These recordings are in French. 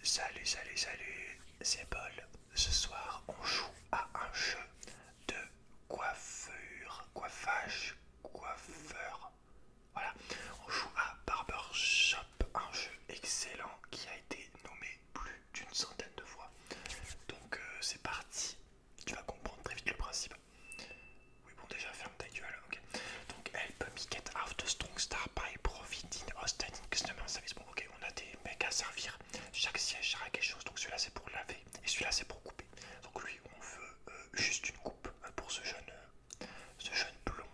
Salut, salut, salut, c'est Paul. Ce soir, on joue à un jeu de coiffure, coiffage, coiffeur. Voilà, on joue à Barbershop, un jeu excellent qui a été nommé plus d'une centaine de fois. Donc, euh, c'est parti, tu vas comprendre très vite le principe. Oui, bon, déjà, ferme ta gueule, ok. Donc, help me get out of strong star by providing hosting customer service ok on a des mecs à servir, chaque siège sera quelque chose, donc celui-là c'est pour laver et celui-là c'est pour couper. Donc lui on veut euh, juste une coupe euh, pour ce jeune, euh, ce jeune blond.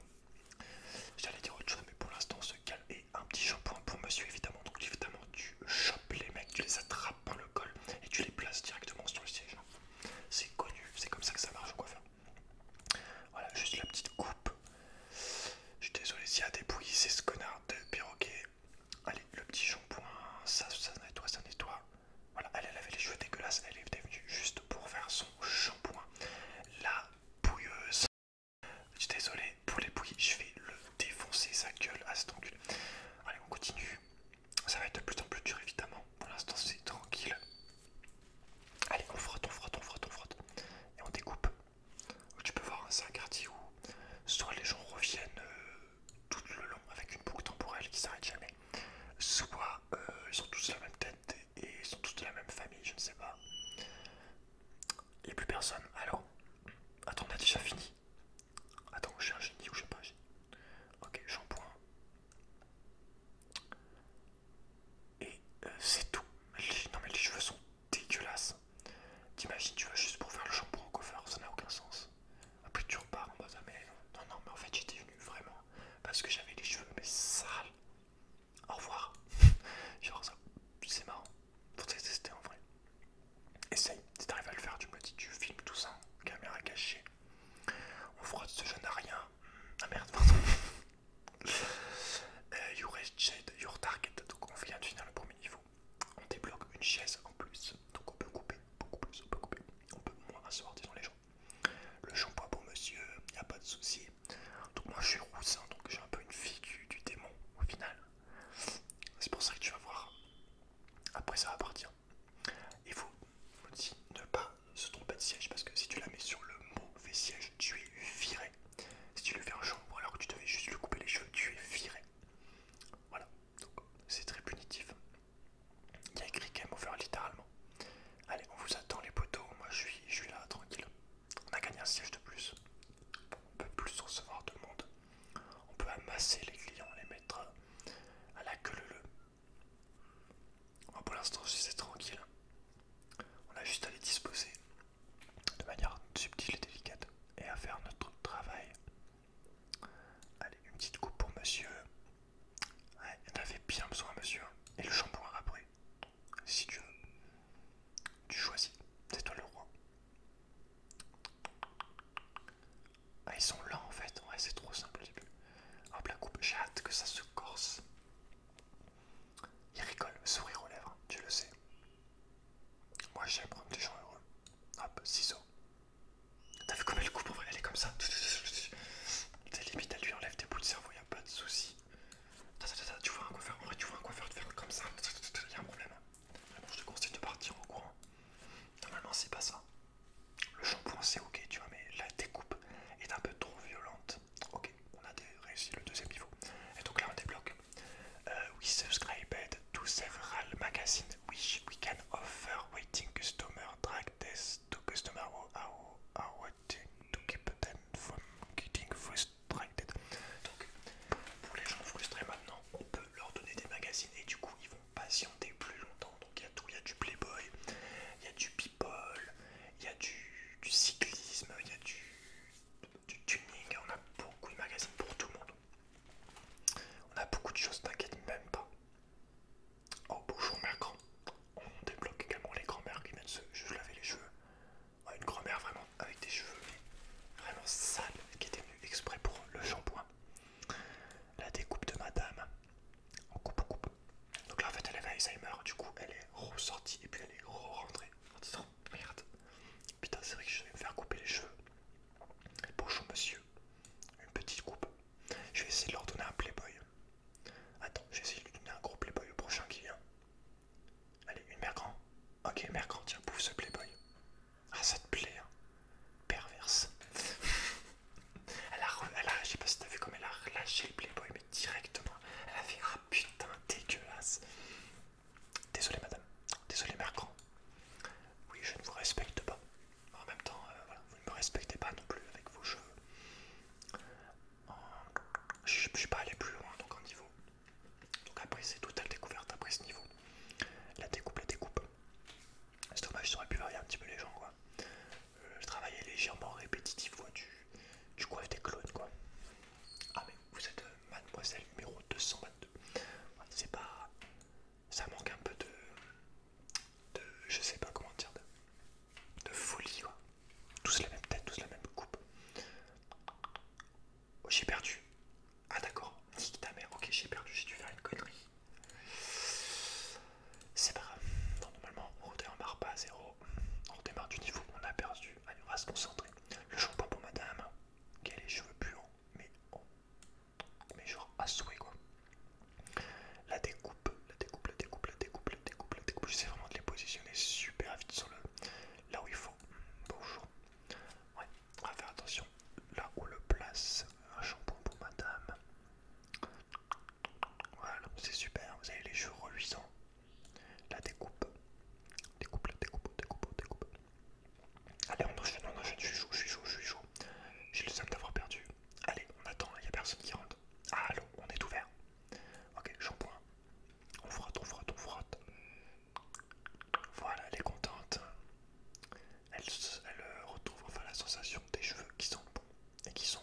J'allais dire autre chose mais pour l'instant on se calme et un petit shampoing pour monsieur évidemment. Donc évidemment tu chopes les mecs, tu les attrapes par le col et tu les places directement sur le siège. C'est connu, c'est comme ça que ça marche au coiffeur. Voilà, juste la petite coupe. Je suis désolé s'il y a des bouillies, c'est ce connard de perroquet. Allez, le petit shampoing, ça, ça nettoie, ça nettoie. Voilà, elle, avait les cheveux dégueulasses, elle est venue juste pour faire son shampoing. La bouilleuse. Je suis désolé, pour les bouilles, je vais le défoncer sa gueule à cet angle. Allez, on continue. Ça va être de plus en plus dur, évidemment. Pour l'instant, c'est tranquille. Allez, on frotte, on frotte, on frotte, on frotte. Et on découpe. Tu peux voir, c'est un quartier où soit les gens reviennent euh, tout le long avec une boucle temporelle qui s'arrête jamais, soit euh, ils sont tous de la même tête et ils sont tous de la même famille, je ne sais pas. Il n'y a plus personne. Alors, attends, on a déjà fini. Attends, j'ai un génie ou je sais pas. Ok, shampoing. Et euh, c'est tout. non mais les cheveux sont dégueulasses. T'imagines, tu vas juste pour faire le shampoing au coiffeur, ça n'a aucun sens. Après tu repars en bas ah, mais non, non, mais en fait j'étais venu vraiment parce que j'avais les cheveux mais sales. Au revoir. Genre ça, c'est marrant. Faut tester en vrai. Essaye, si t'arrives à le faire, tu me dis, tu filmes tout ça, caméra cachée. On frotte ce jeu n'a rien. Ah merde, pardon. Euh, you your target, donc on vient de finir le premier niveau. On débloque une chaise en plus, donc on peut couper, beaucoup plus, on peut couper, on peut moins asseoir, disons les gens. Le shampoing pour monsieur, il n'y a pas de souci. Donc moi je suis roussin, donc j'ai un peu une figure du démon au final. C'est pour ça que tu vas voir. Après ça va partir. Il faut aussi ne pas se tromper de siège parce que si tu la mets sur le mauvais siège, tu es viré si tu le fais un ou alors que tu devais juste lui couper les cheveux, tu es viré. Voilà, donc c'est très punitif. Il y a écrit game over littéralement. Allez, on vous attend les poteaux, moi je suis, là tranquille. On a gagné un siège de plus. on peut plus recevoir de monde. On peut amasser les clients, les mettre à la queue leu. -le. pour l'instant, c'est tranquille. On a juste à les disposer de manière subtile et délicate et à faire notre travail. Allez, une petite coupe pour monsieur. Ouais, il avait bien besoin, monsieur. Et le shampoing après, si tu veux. Tu choisis, c'est toi le roi. Ah, ils sont là en fait, ouais, c'est trop simple au début. Hop, la coupe, j'ai que ça se corse. Il rigole, sourire aux lèvres, tu le sais. Moi j'aime prendre des gens heureux. Hop, ciseaux. T'as vu comment elle coupe en vrai, elle est comme ça. T'es limite, elle lui enlève des bouts de cerveau, y a pas de soucis. Tu vois un coiffeur, en vrai tu vois un coiffeur de faire comme ça, y a un problème. je te conseille de partir au courant. Normalement c'est pas ça. Le shampoing c'est ok, tu vois, mais la découpe est un peu trop violente. Ok, on a réussi le deuxième niveau. Et donc là on débloque. Euh, we subscribed to several magazines which we can offer waiting customer drag this to customer who are waiting to keep them from getting frustrated. Donc pour les gens frustrés maintenant, on peut leur donner des magazines et du coup ils vont patienter plus longtemps. Donc il y a tout, il y a du Playboy, il y a du People, il y a du cyclisme, il y a du du tuning, on a beaucoup de magazines pour tout le monde. On a beaucoup de choses, t'inquiète même pas. Oh bonjour mère On débloque également les grand-mères qui viennent se laver les cheveux. une grand-mère vraiment avec des cheveux vraiment sales qui était venue exprès pour le shampoing. La découpe de madame. On coupe, on coupe. Donc là en fait elle avait Alzheimer, du coup elle est ressortie et puis elle est re-rentrée merde, putain, c'est vrai que je vais me faire couper les cheveux. Bonjour monsieur, une petite coupe. Je vais essayer de leur donner un playboy. Attends, je vais essayer de lui donner un gros playboy le prochain qui vient. Allez, une mère grand. Ok, une mère tiens, bouffe ce playboy. Ah, ça te plaît, hein. perverse. elle a, je sais pas si t'as vu comme elle a relâché le playboy, directement. Elle a fait Ah putain dégueulasse. Désolé madame, désolé mercredi. Oui, je ne vous respecte pas. En même temps, euh, voilà, vous ne me respectez pas non plus avec vos cheveux. Je suis pas allé plus loin, donc en niveau. Donc après, c'est la découverte après ce niveau. La découpe, la découpe. C'est dommage, j'aurais pu varier un petit peu les gens, quoi. Je euh, travaillais légèrement répétitif, du coiffe des clones, quoi. Ah mais vous êtes euh, mademoiselle numéro 222. C'est pas... Ça manque un peu de... de je sais pas comment dire. De, de folie. Quoi. Tous la même tête, tous la même coupe. Oh, j'ai perdu. Ah d'accord. Nique ta mère. Ok j'ai perdu. J'ai dû faire une connerie. C'est pas grave. Non, normalement on marre pas à zéro. On démarre du niveau On a perdu. Allez, on va se concentrer. Le shampoing pour madame, qui a les cheveux puants, hein. mais, mais genre à souhait quoi. La découpe, la découpe, la découpe, la découpe, la découpe, la découpe. sais vraiment de les positionner super vite sur le là où il faut. Bonjour. Ouais, on va faire attention. Là où le place, un shampoing pour madame. Voilà, c'est super. Vous avez les cheveux reluisants. La découpe. Découpe, la découpe, découpe, découpe. Allez, on enchaîne, on enchaîne. Je suis chaud, je suis chaud, je suis J'ai le seum d'avoir perdu. Allez, on attend, il n'y a personne qui rentre. Ah, allô, on est ouvert. Ok, shampoing. On frotte, on frotte, on frotte. Voilà, elle est contente. elle euh, retrouve enfin la sensation des cheveux qui sont bons et qui sont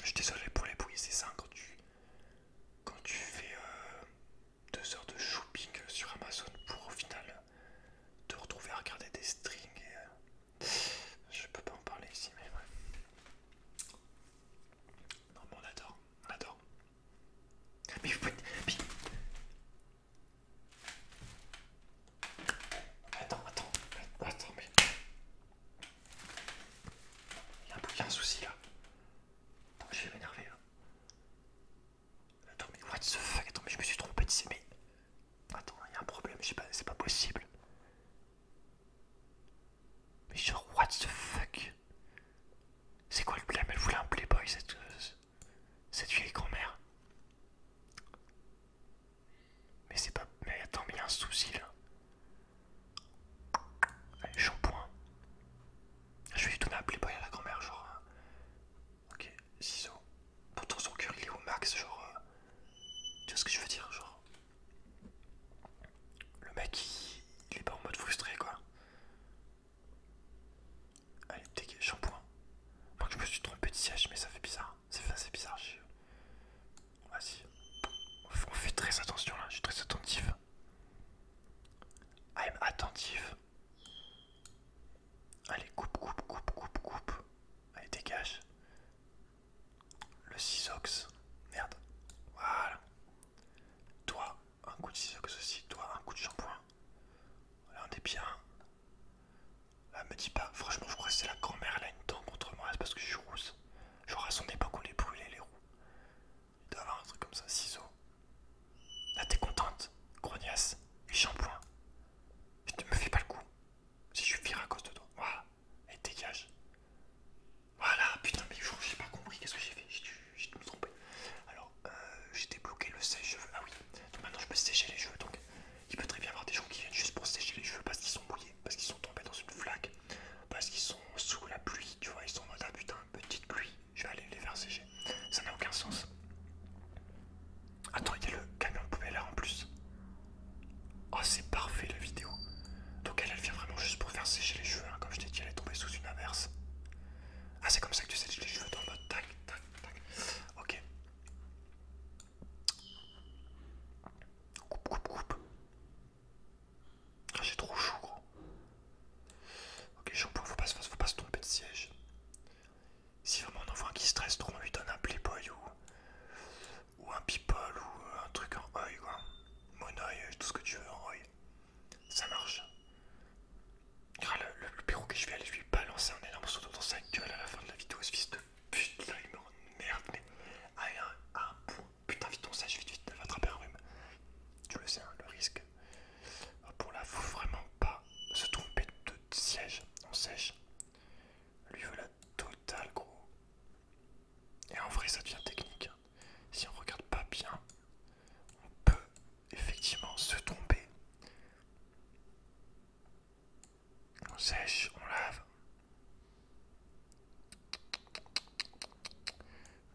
Je suis désolé pour les bruits, c'est ça quand tu, quand tu fais euh, deux heures de shopping sur Amazon pour au final te retrouver à regarder des strings. Euh, je peux pas en parler ici, mais ouais. Non, mais on adore, on adore. Attends, attends, attends, mais. Il y a un, peu, souci là. Attends, je vais m'énerver là. Attends, mais what the fuck? Attends, mais je me suis trompé, de mais. Attends, il y a un problème, c'est pas possible. Mais genre, what the fuck? C'est quoi le blâme? Elle voulait un playboy, cette, euh, cette vieille grand-mère. Mais c'est pas. Mais attends, mais il y a un souci là. Allez, shampoing. Ah, je vais donner un playboy à la grand-mère, genre. Hein. Ok, ciseaux. Pourtant, son cœur il est au max, genre. Euh. Tu vois ce que je veux dire, genre. Le mec il, est pas en mode frustré quoi. Allez, dégage, shampoing. Moi je me suis trompé de siège, mais ça fait bizarre. Ça fait assez bizarre. Je... Vas-y. On fait très attention là, je suis très attentif. I'm attentif. Allez, coupe, coupe, coupe, coupe, coupe. Allez, dégage. Le SISOX, Merde. Voilà. Toi, un coup de ciseaux aussi. Toi, un coup de shampoing. on est bien. Ah, me dis pas, franchement, je crois que c'est la grand-mère, elle a une dent contre moi, c'est parce que je suis rousse. je à pas époque, on les brûlait les roues. Il doit avoir un truc comme ça, ciseaux. Là, t'es contente, grognasse, et shampoing. Je te me fais pas le coup. Si je suis à cause de toi, voilà, et dégage. Voilà, putain, mais j'ai pas compris, qu'est-ce que j'ai fait J'ai tout me trompé. Alors, euh, j'ai débloqué le sèche-cheveux. Ah oui, maintenant je peux sécher les cheveux, donc il peut très bien y avoir des gens qui viennent juste pour sécher les cheveux parce qu'ils sont bouillés parce qu'ils sont tombés dans une flaque, parce qu'ils sont sous la pluie, tu vois, ils sont en mode ah putain, petite pluie, je vais aller les faire sécher. Ça n'a aucun sens. Attends, il y a le camion de poubelle là en plus. Oh, c'est parfait la vidéo. Donc elle, elle vient vraiment juste pour faire sécher les cheveux, hein. comme je t'ai dit, elle est tombée sous une averse. Ah, c'est comme ça que tu sèches les cheveux dans mode tac, tac, tac. Ok. Coupe, coupe, coupe. Ah, j'ai trop chaud, gros. Ok, ne faut pas, faut pas se tromper de siège. Si vraiment on enfant un qui stresse trop, on lui donne un playboy ou, un people ou un truc en oeil, quoi. Mon tout ce que tu veux en oeil. Ça marche. le, le, que que je vais aller lui balancer un énorme saut dans sa gueule à la fin de la vidéo, ce fils de Putain, il me merde, mais allez, un, Putain, vite, on sèche, vite, vite, va attraper un rhume. Tu le sais, hein, le risque. Ah, pour là, faut vraiment pas se tromper de siège. On sèche. Lui voilà, la totale, gros. Et en vrai, ça devient technique. Hein. Si on regarde pas bien, on peut effectivement se tromper. On sèche, on lave.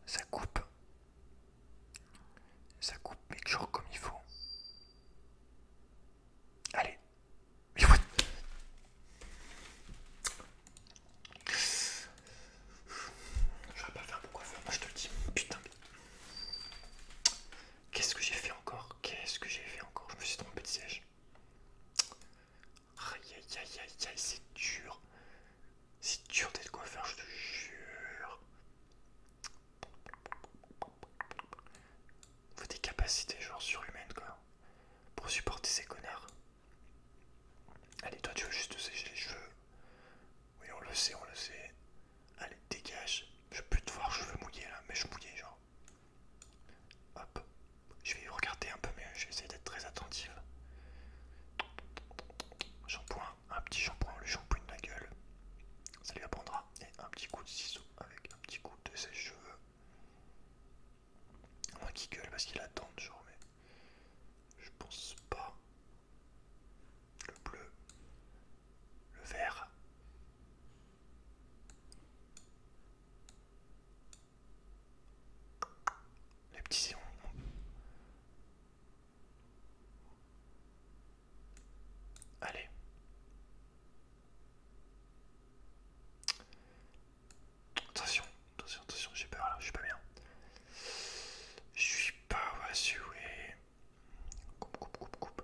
Ça coupe. Ça coupe, mais toujours comme il faut. Allez. Je vais pas faire un bon moi je te le dis. Putain. Qu'est-ce que j'ai fait encore Qu'est-ce que j'ai fait encore Je me suis trompé de siège. Aïe aïe aïe aïe aïe, c'est dur. C'est dur d'être coiffeur, je te jure. Faut des capacités genre surhumaines quoi. Pour supporter ces connards. Allez, toi tu veux juste sécher les cheveux. Oui, on le sait, on le sait. Allez, dégage. Je veux plus te voir je veux mouiller là, mais je mouillé genre. Hop. Je vais regarder un peu mieux, je vais essayer d'être très attentive. Shampoing, un petit shampoing, le shampoing de la gueule. Ça lui apprendra. Et un petit coup de ciseau avec un petit coup de ses cheveux Moi qui gueule parce qu'il attend toujours mais. Je pense pas. Le bleu. Le vert. Les petits Allez. Attention, attention, attention, j'ai peur là, je suis pas bien. Je suis pas assuré. Coupe, coupe, coupe, coupe.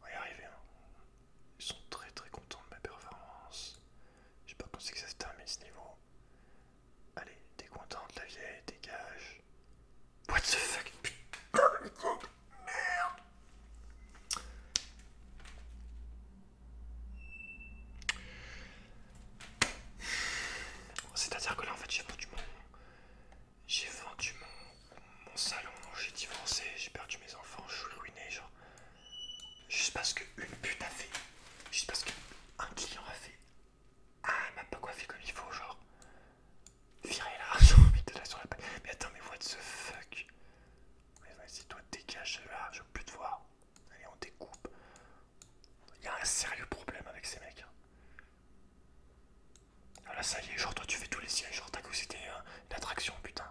On va y arriver. Hein. Ils sont très très contents de ma performance. Je sais pas pensé que ça se termine ce niveau. Allez, t'es contente la vieille, dégage. What the fuck Putain, merde C'est-à-dire que là en fait j'ai vendu J'ai vendu mon, mon salon, j'ai divorcé, j'ai perdu mes enfants, je suis ruiné, genre. Juste parce qu'une pute a fait, juste parce qu'un client a fait, ah, elle m'a pas coiffé comme il faut, genre, virer là, de la sur la paille. Mais attends, mais what the fuck Vas-y, toi, dégage là, je veux plus te voir. Allez, on découpe. Il y a un sérieux problème avec ces mecs. Hein. Alors ah là, ça y est, genre, toi, tu fais tous les sièges, genre, t'as cru c'était euh, une attraction, putain.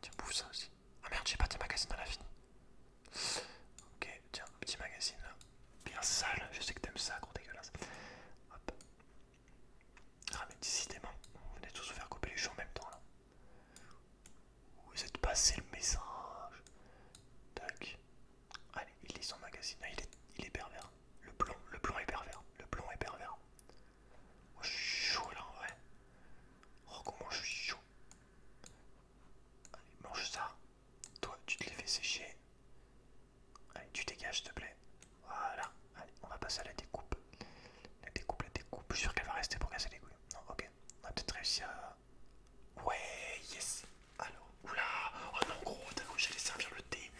Tiens, bouffe ça aussi. Ah merde, j'ai pas de magazines à la fin. Ok, tiens, petit magazine là. Bien sale, je sais que t'aimes ça, gros dégueulasse. Hop. Ah mais décidément, vous venez tous vous faire couper les cheveux en même temps là. Vous êtes passé le message. Tac. Allez, il lit son magazine. Ah, il, est, il est pervers. Le plomb, le plomb est pervers. Le plomb est pervers. Oh je suis chaud là en vrai. Oh comment je suis chaud. Allez, mange ça. Toi, tu te les fais sécher. Allez, tu dégages s'il te plaît. Voilà. Allez, on va passer à la découpe. La découpe, la découpe. Je suis sûr qu'elle va rester pour casser les couilles. Non, ok. On va peut-être réussir à... Ouais, yes Alors, oula Oh non, gros, d'un coup, j'allais servir le thé.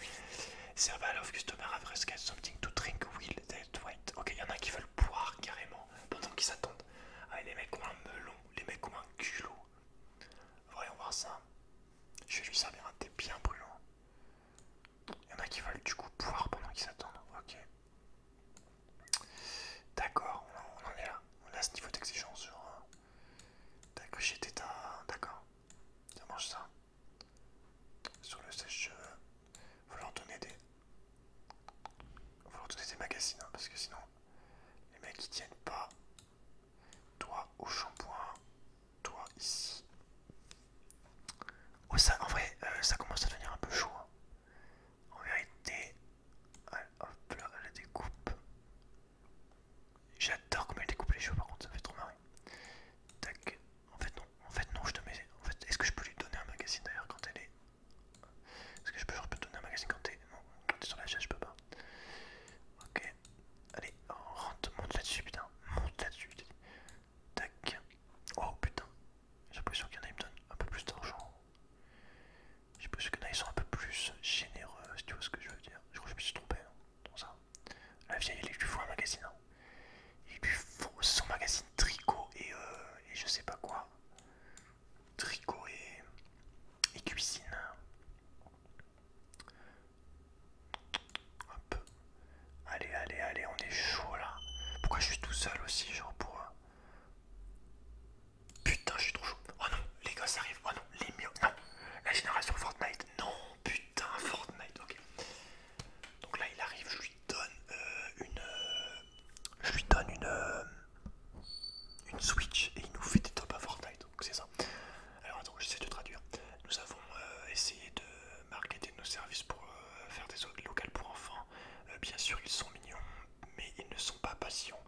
Serve of customer a fresca something to drink will that white. Ok, il y en a qui veulent poire carrément pendant qu'ils s'attendent. Ah, les mecs ont un melon, les mecs ont un culot. Voyons voir ça. Je vais lui servir un thé bien brûlant. Il y en a qui veulent du coup poire pendant qu'ils s'attendent. Ok. D'accord, on, en est là. On a ce niveau d'exigence sur. Euh, T'as cru D'accord. Ça mange ça. Sur le sèche-cheveux. Vous leur donnez des... des magazines, hein, parce que sinon, les mecs ils tiennent pas. Toi au shampoing, toi ici. Oh, ça, en vrai, euh, ça commence à devenir un peu chaud. Hein. En vérité, hop là, la découpe. J'adore comment elle découpe les cheveux par contre, ça fait trop marrer. Tac, en fait non, en fait non, je te mets... En fait, est-ce que je peux lui donner un magazine d'ailleurs quand elle est... Est-ce que je peux, toujours donner un magazine quand t'es... Non, quand t'es sur la chaise, je peux pas. Ok. Allez, rentre, monte là-dessus, putain. Monte là-dessus. Tac. Oh putain. J'ai l'impression qu'il y en a, ils me donnent un peu plus d'argent. J'ai l'impression qu'il y en a, ils sont un peu plus généreux, si tu vois ce que je veux dire. Je crois que je me suis trompé, Dans ça. La vieille, elle est du fous un magazine. Hein. Il lui faut son magazine tricot euh, et, je sais pas quoi. Tricot et, cuisine. Allez, allez, allez, on est chaud là. Pourquoi je suis tout seul aussi, genre pour... Euh, putain, je suis trop chaud. Oh non, les gosses arrive Oh non, les mieux. Non, la génération Fortnite. Non, putain, Fortnite, ok. Donc là, il arrive, je donne euh, une, euh, je lui donne une, euh, une Switch et il nous fait des top à Fortnite, donc c'est ça. Alors attends, j'essaie de traduire. Nous avons essayé de marketer nos services pour faire des locales pour enfants. bien sûr, ils sont mignons, mais ils ne sont pas patients.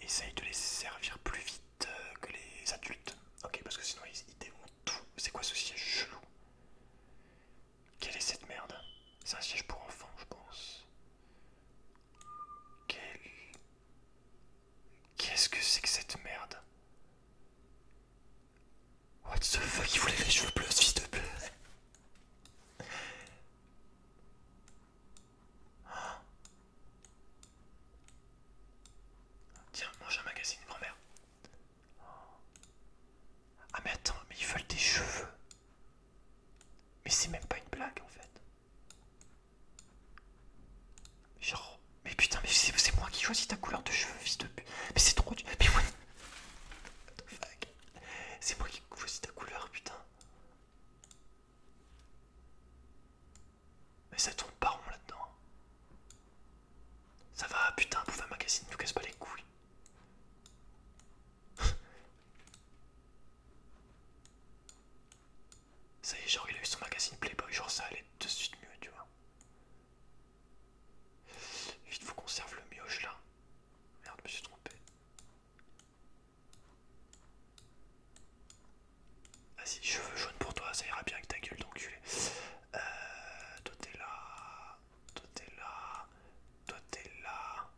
Essaye de les servir plus vite que les adultes. Ok, parce que sinon ils, ils tout. C'est quoi ce siège chelou quelle est cette merde C'est un siège pour enfants, je pense. Quel... Qu'est-ce que c'est que cette merde What the fuck, il voulait les cheveux bleus, fils de bleu Tiens, mange un magazine, grand-mère. Ah mais attends, mais ils veulent des cheveux. Mais c'est même pas une blague en fait. Genre, mais putain, mais c'est moi qui choisis ta couleur de cheveux, fils de pute. Mais c'est trop dur. Mais what, C'est moi qui choisis ta couleur, putain. Mais ça tourne pas rond là-dedans. Ça va, putain, bouffe un magazine, nous casse pas les couilles. ça y est, genre il a eu son magazine Playboy, genre ça allait de suite mieux, tu vois. Vite, faut qu'on serve le mioche là. Merde, je me suis trompé. Vas-y, cheveux jaunes pour toi, ça ira bien avec ta gueule d'enculé. Euh, toi t'es là toi t'es là, toi t'es là.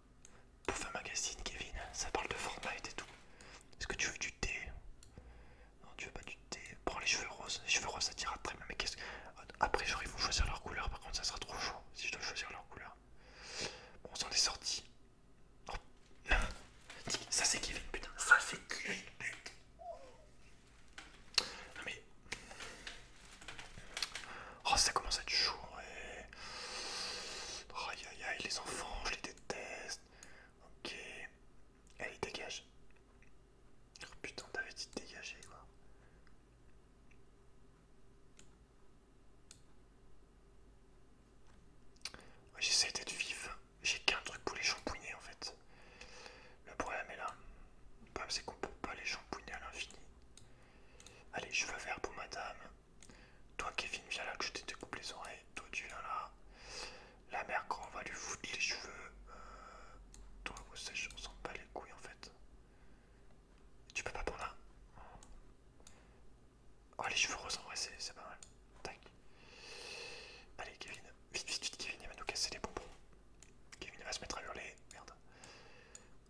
Pouf un magazine, Kevin, ça parle de Fortnite et tout. Est-ce que tu veux du thé Non, tu veux pas du thé. Prends les cheveux roses, les cheveux roses ça t'ira très bien. Mais qu'est-ce que. Après, j'aurais vous choisir leur couleur, par contre, ça sera trop chaud si je dois choisir leur couleur. Bon, on s'en est sorti. Oh. Ça c'est Kevin, putain, ça c'est Kevin, putain. Non ah, mais... Oh ça commence à être chaud et... Oh, aïe aïe aïe les enfants, je les déteste. Ok. Allez dégage. Oh, putain t'avais dit de dégager quoi. J'essaie d'être vif. J'ai qu'un truc pour les champouiner en fait. Le problème est là. Le problème c'est qu'on peut pas les champouiner à l'infini. Allez, cheveux veux pour madame. Toi, Kevin, viens là que je te découpe les oreilles. Toi, tu viens là. La mère, quand on va lui foutre les cheveux. Euh, toi, vous sèche, on s'en pas les couilles en fait. Tu peux pas pour là Oh, les cheveux roses c'est pas mal. Tac. Allez, Kevin. Vite, vite, vite, Kevin, il va nous casser les bonbons. Kevin, va se mettre à hurler. Merde.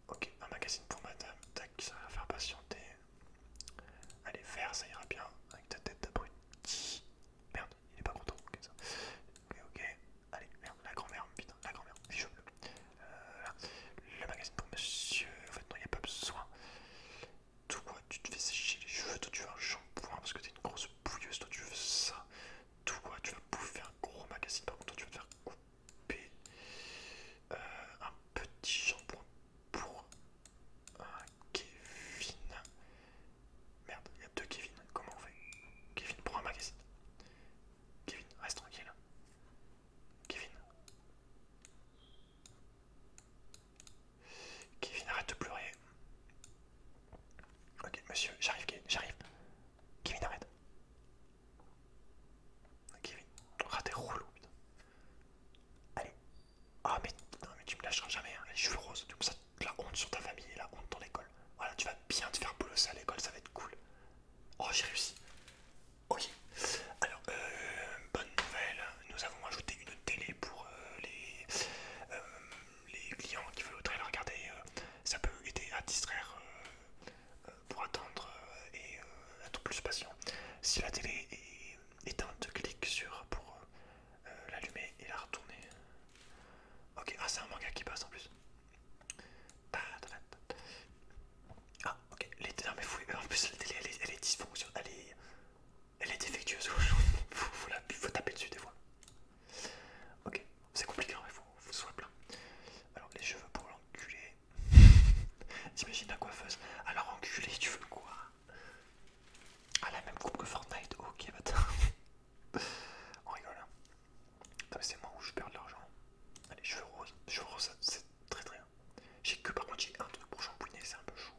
Ok, un magazine pour madame. Tac, ça va faire patienter. Allez, vert, ça ira bien. Avec ta tête d'abruti. Merde, il est pas content. Ok, ça. Ok, ok. Allez, merde, la grand-mère, putain, la grand-mère, euh, Le magazine pour monsieur. En fait, non, il n'y a pas besoin. Toi, tu te fais sécher les cheveux. Toi, tu veux un shampoing parce que t'es une grosse bouilleuse. Toi, tu veux ça. Toi, tu vas bouffer un gros magazine. Par contre, toi, tu vas te faire couper euh, un petit shampoing pour euh, Kevin. Merde, il y a deux Kevin. Comment on fait Kevin pour un magazine. Kevin, reste tranquille. Kevin. Kevin, arrête de pleurer. Ok, monsieur, j'arrive, j'arrive. Kevin, arrête oui, Ah oh, t'es Allez. Ah mais, non, mais tu me lâcheras jamais, hein. les cheveux roses, comme ça la honte sur ta famille et la honte dans l'école. Voilà, tu vas bien te faire bosser à l'école, ça va être cool. Oh j'ai réussi. Ok. Alors, euh, bonne nouvelle, nous avons ajouté une télé pour euh, euh, les, clients qui veulent la regarder. Euh, ça peut aider à distraire euh, pour attendre euh, et être euh, plus patient. Si la télé est éteinte, clique sur pour l'allumer et la retourner. Ok, ah c'est un manga qui passe en plus. Ah ok, L'été, mais fouille en plus la télé elle est, elle dysfonctionnelle, elle est, elle est défectueuse, faut, faut taper dessus des fois. Ok, c'est compliqué, il faut, que ce soit plein. Alors, les cheveux pour l'enculé. T'imagines la coiffeuse Alors, enculé, tu veux quoi Ah, la même coupe que Fortnite. Ok, bâtard. Bah, on rigole. Hein. C'est moi où je perds de l'argent. Allez, ah, cheveux roses. Cheveux roses, c'est très très bien. J'ai que par contre, j'ai un truc pour jambouiner, c'est un peu chou.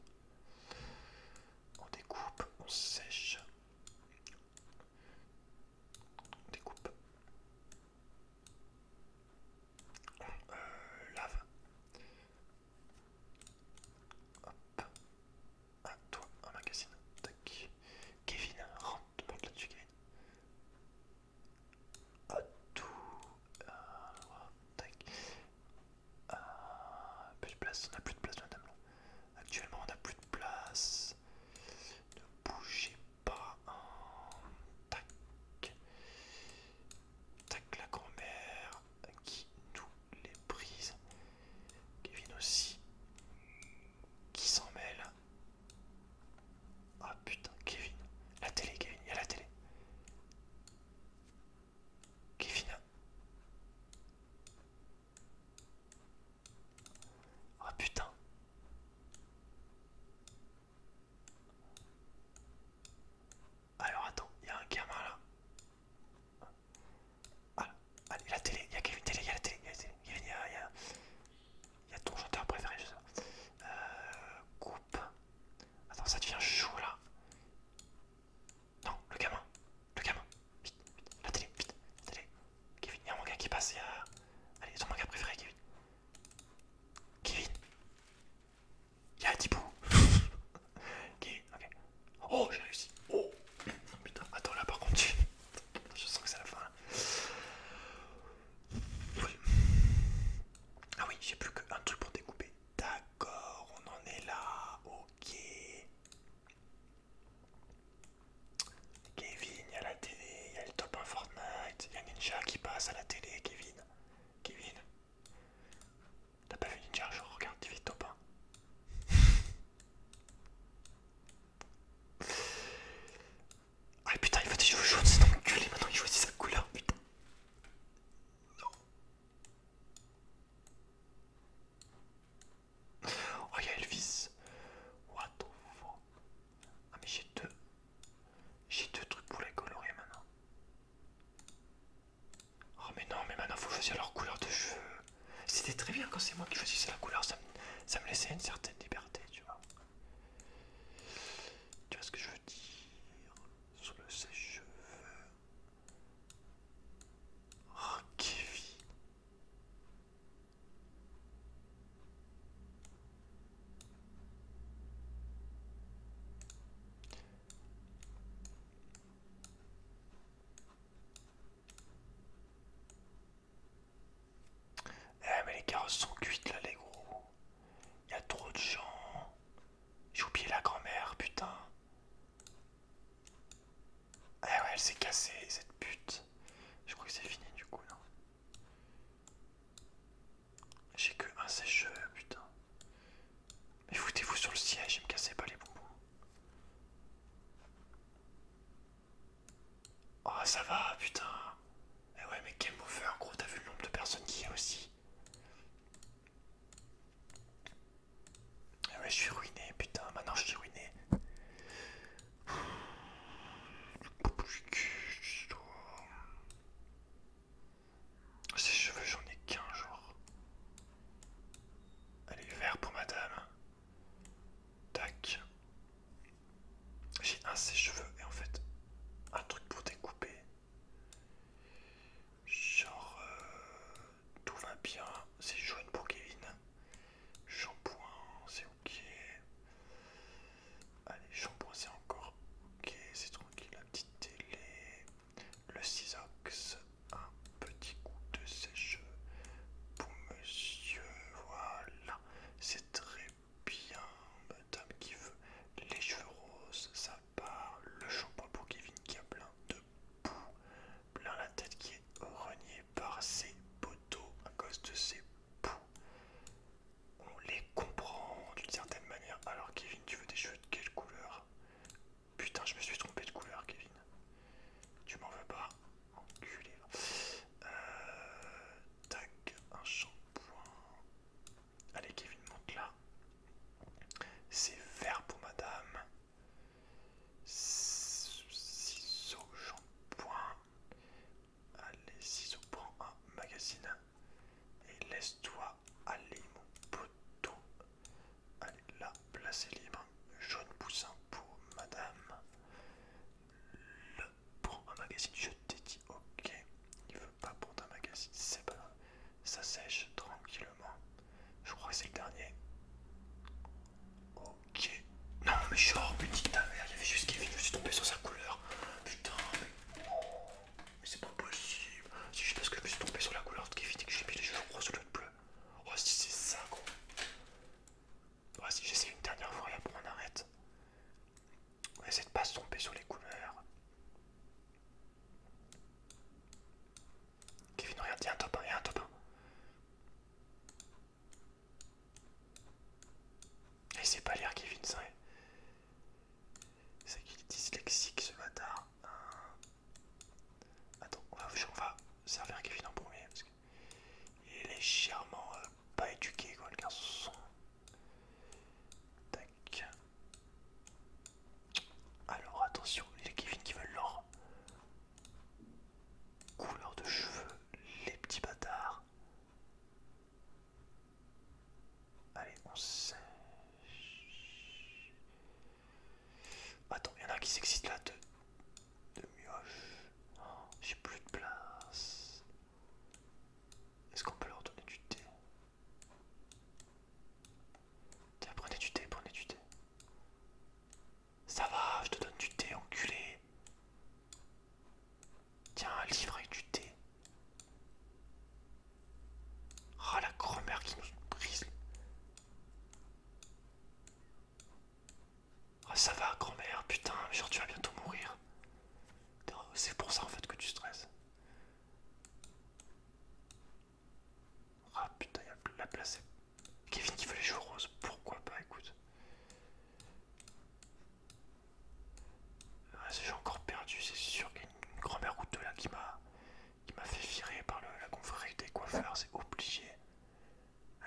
On découpe, on sèche découpe. Euh, lave. Hop. À toi, un magasin Tac. Kevin, rentre, monte là-dessus, Kevin. À tout. Euh, tac. Euh, plus de place, on a plus de place, madame. Actuellement, on n'a plus de place. Ne bougez pas. Tac. Tac, la grand-mère qui nous les prise. Kevin aussi. Qui s'en mêle Ah putain, Kevin. La télé, Kevin, il y a la télé. Kevin oh, putain. Alors attends, il y a un gamin là. Ah, allez, la télé, il y a Kevin Télé, il y a la télé, il y a la télé. il y a, y a ton chanteur préféré, je sais pas. Euh, coupe. Attends, ça devient chaud là. Non, le gamin, le gamin. Vite, vite, la télé, vite, la télé. Kevin, il y a un manga qui passe, il y a... Allez, ton manga préféré, Kevin. Kevin Il y a Kevin, ok. Oh, j'ai réussi Oh Putain, attends, là par contre, je sens que c'est la fin, Ah oui, j'ai plus qu'un truc pour découper. D'accord, on en est là, ok. Kevin, il y a la télé, il y a le top 1 Fortnite, il y a Ninja qui passe à la télé, Kevin. Kevin. T'as pas vu Ninja, je regarde vite top 1. ah putain, il va des jouer jaune, c'est dans maintenant il choisit sa couleur, putain. Oh, il y a Elvis. What the fuck? Ah mais j'ai deux. J'ai deux trucs pour les colorer maintenant. Ah mais non, mais maintenant faut choisir leur couleur de cheveux. C'était très bien quand c'est moi qui choisissais la couleur, ça me, ça me laissait une certaine liberté, tu vois. Tu vois ce que je veux dire Sur le sèche-cheveux. Oh Kevin. Eh mais les carrosses sont cuites là les gros. Il y a trop de gens. J'ai oublié la grand-mère, putain. Eh ouais, elle s'est cassée cette pute. Je crois que c'est fini du coup, non j'ai que un sèche putain. Mais foutez-vous sur le siège et me cassez pas les bonbons. Oh, ça va, putain. Eh ouais, mais game over, gros, t'as vu le nombre de personnes qu'il y a aussi. Eh ouais, je suis ruiné, putain, maintenant je suis ruiné. Ses cheveux, j'en ai qu'un, genre. Allez, vert pour madame. Tac. J'ai un ses cheveux et en fait, un truc pour découper. Genre, euh, tout va bien. C'est jaune pour Kevin. Shampoing, c'est ok. Allez, shampoing, c'est encore ok. C'est tranquille, la petite télé. Le Cisox, un petit coup de sèche pour monsieur. Voilà, c'est très bien. Madame qui veut les cheveux roses, ça part. Le shampoing pour Kevin qui a plein de boue, plein la tête qui est reniée par ses poteaux à cause de ses poux. On les comprend d'une certaine manière. Alors Kevin, tu veux des cheveux de quelle couleur Putain, je me suis trompé de couleur, Kevin. Tu m'en veux pas Enculé. Euh, un shampoing. Allez, Kevin, monte là. C'est vert pour madame. Ciseaux, shampoing. Allez, ciseaux, prends un magazine et laisse-toi aller, mon poteau. Allez, là, place est libre. Jaune poussin pour madame. Le prends un magazine, je t'ai dit, ok. Il veut pas prendre un magazine, c'est pas grave. Ça sèche tranquillement. Je crois que c'est le dernier. Oh Ok. Non mais genre petite ta mère, il y avait juste Kevin, je suis tombé sur sa couleur. Putain mais. mais c'est pas possible. C'est pas ce que je me suis tombé sur la couleur de Kevin et que j'ai mis les yeux gros sur le bleu. Oh si c'est ça gros. Oh, si j'essaie une dernière fois et pour on arrête. On essaie de pas se tomber sur les couleurs. Kevin regarde, il y a un top 1, il y a un top 1. Et c'est pas l'air Kevin, hein. c'est C'est qu'il est dyslexique ce bâtard. Euh, attends, on va, servir Kevin en premier. Parce qu'il il est légèrement euh, pas éduqué quoi, le garçon. Tac. Alors attention, les Kevin qui veulent l'or. Couleur de cheveux, les petits bâtards. Allez, on sèche. Attends, il y en a qui s'excite là de, de mioche. Oh, j'ai plus de place. Est-ce qu'on peut leur donner du thé Tiens, prenez du thé, prenez du thé. Ça va, je te donne du thé, enculé. Tiens, un livre avec du thé. Ah, la grand-mère qui nous brise. Ah, ça va, grand-mère, putain, genre tu vas bientôt mourir. C'est pour ça en fait que tu stresses. Ah putain, il y a la place. Kevin qui veut les jouer roses, pourquoi pas, écoute. Ah, j'ai encore perdu, c'est sûr qu'il y a une grand-mère ou deux là qui m'a qui m'a fait virer par la confrérie des coiffeurs, c'est obligé.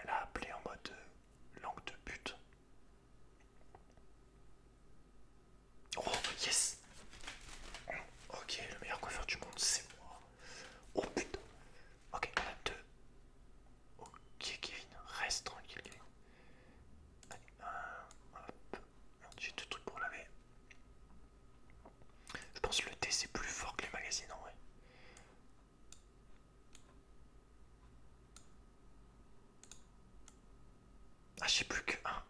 Elle a appelé en mode euh, langue de but. Oh yes Ok, le meilleur coiffeur du monde c'est moi. Oh putain Ok, on a deux. Ok Kevin. reste tranquille Kevin. Allez, j'ai deux trucs pour laver. Je pense que le T c'est plus fort que les magasins, en vrai. Ah j'ai plus que un.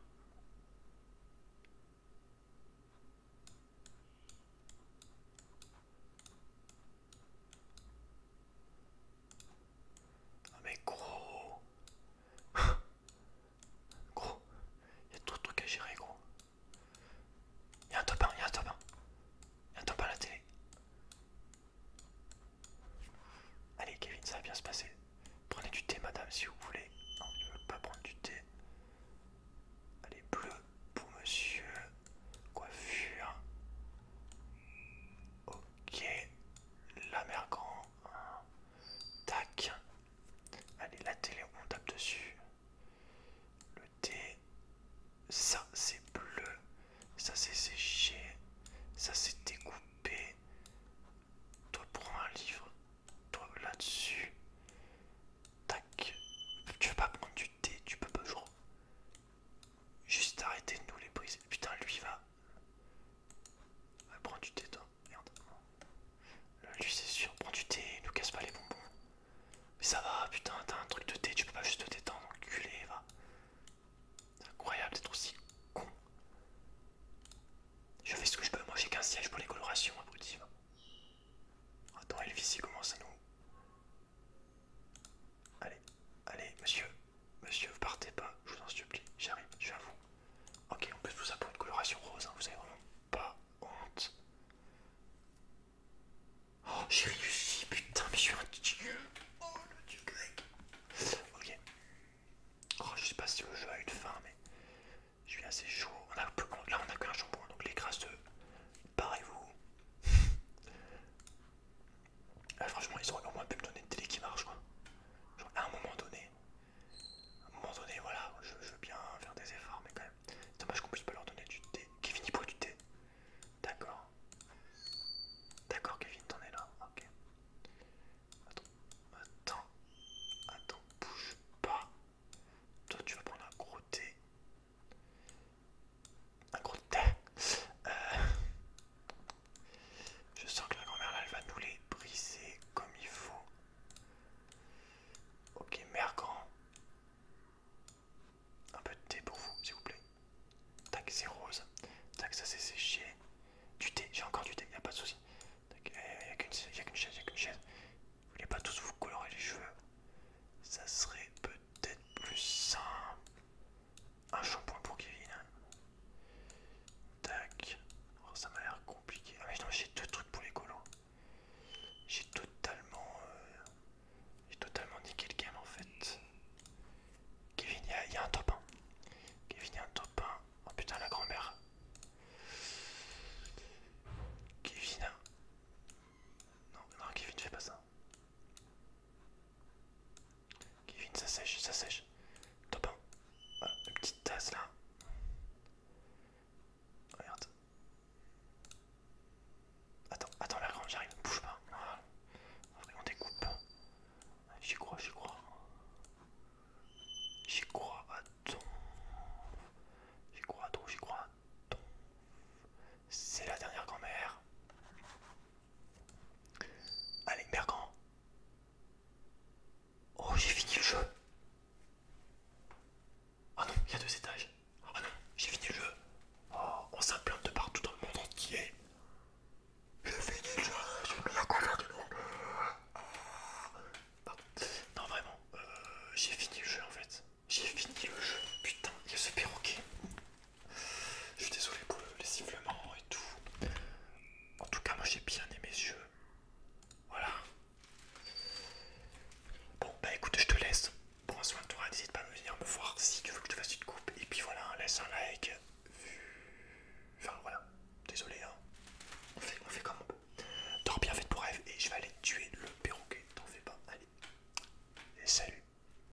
Ah mais gros Gros y a trop de trucs à gérer gros y a un top 1, y'a un top 1 a un top 1 à la télé Allez Kevin ça va bien se passer Prenez du thé madame si vous voulez Non ils veulent pas prendre du thé Allez bleu pour monsieur coiffure. Ok, la mer grand. Tac. Allez, la télé, on tape dessus. Le thé. Ça, c'est bleu. Ça, c'est séché. Ça, c'est découpé. Toi, prends un livre. Toi, là-dessus. Tac. Tu veux pas prendre du thé, tu peux pas. jouer Juste arrêtez de nous les briser. Putain, lui va. Va prends du thé, toi. Merde. lui, c'est sûr. Prends du thé, il nous casse pas les bonbons. Mais ça va, putain, t'as un truc de thé, tu peux pas juste te détendre, enculé, va. C'est incroyable d'être aussi con. Je fais ce que je peux, moi j'ai qu'un siège pour les colorations, abruti. Attends, Elvis, il commence à nous Allez, allez, monsieur, monsieur, vous partez pas, je vous en supplie, j'arrive, je suis à vous. Ok, on peut tout ça pour une coloration rose, hein, vous avez vraiment pas honte. Oh, j'ai réussi, putain, mais je suis un dieu! Oh, le dieu Ok. je oh, je sais pas si le jeu a une fin, mais je suis assez chaud. là, on a qu'un shampoing, donc les grasseux, barrez-vous. Ah, franchement, ils auraient au moins pu me donner une télé qui marche, quoi. Genre, à un moment donné, à un moment donné, voilà, je, veux bien faire des efforts, mais quand même, c'est dommage qu'on puisse pas leur donner du thé. Kevin, il boit du thé. D'accord. D'accord, Kevin, t'en es là. Ok. Attends, attends, attends, bouge pas. Toi, tu vas prendre un gros thé. Un gros thé. Euh, je sens que la grand-mère là, elle va nous les briser comme il faut. Ok, mère grand. Un peu de thé pour vous, s'il vous plaît. Tac, c'est rose. Tac, ça c'est séché. Du thé, j'ai encore du thé, y a pas de souci. Tac, y a qu'une chaise, y a qu'une chaise. Vous voulez pas tous vous colorer les cheveux Ça serait peut-être plus simple. Un shampoing pour Kevin. Tac. Oh, ça m'a l'air compliqué. Ah mais non, j'ai deux trucs pour les colons, J'ai totalement... Euh, j'ai totalement niqué le game en fait. Kevin, il y, a un top 1. Kevin, il y a un top 1. Oh putain, la grand-mère. Kevin. Non, non, Kevin, fais pas ça. Kevin, ça sèche, ça sèche. Top une petite tasse là. Regarde. Attends, attends la grande, j'arrive, bouge pas. Voilà. On découpe. J'y crois, j'y crois. J'y crois à ton. J'y crois à ton, j'y crois à ton. C'est la dernière grand-mère. Allez, Bergant. Oh, j'ai fini le jeu. oh non, il y a deux étages. oh non, j'ai fini le jeu. Oh, on s'implante de partout dans le monde entier. J'ai fini le jeu, j'ai la colère du ah. pardon. Non, vraiment, euh, j'ai fini le jeu en fait. J'ai fini le jeu. Putain, il y a ce perroquet. Je suis désolé pour les sifflements et tout. En tout cas, moi j'ai bien aimé mes yeux. Voilà. Bon, bah écoute, je te laisse. Prends soin de toi, n'hésite pas à venir me voir si tu veux que je te fasse une coupe. Et puis voilà, laisse un like. Enfin voilà, désolé, hein. on, fait, comme on peut. Dors bien, fais ton rêve et je vais aller tuer le perroquet. T'en fais pas, allez. Et salut.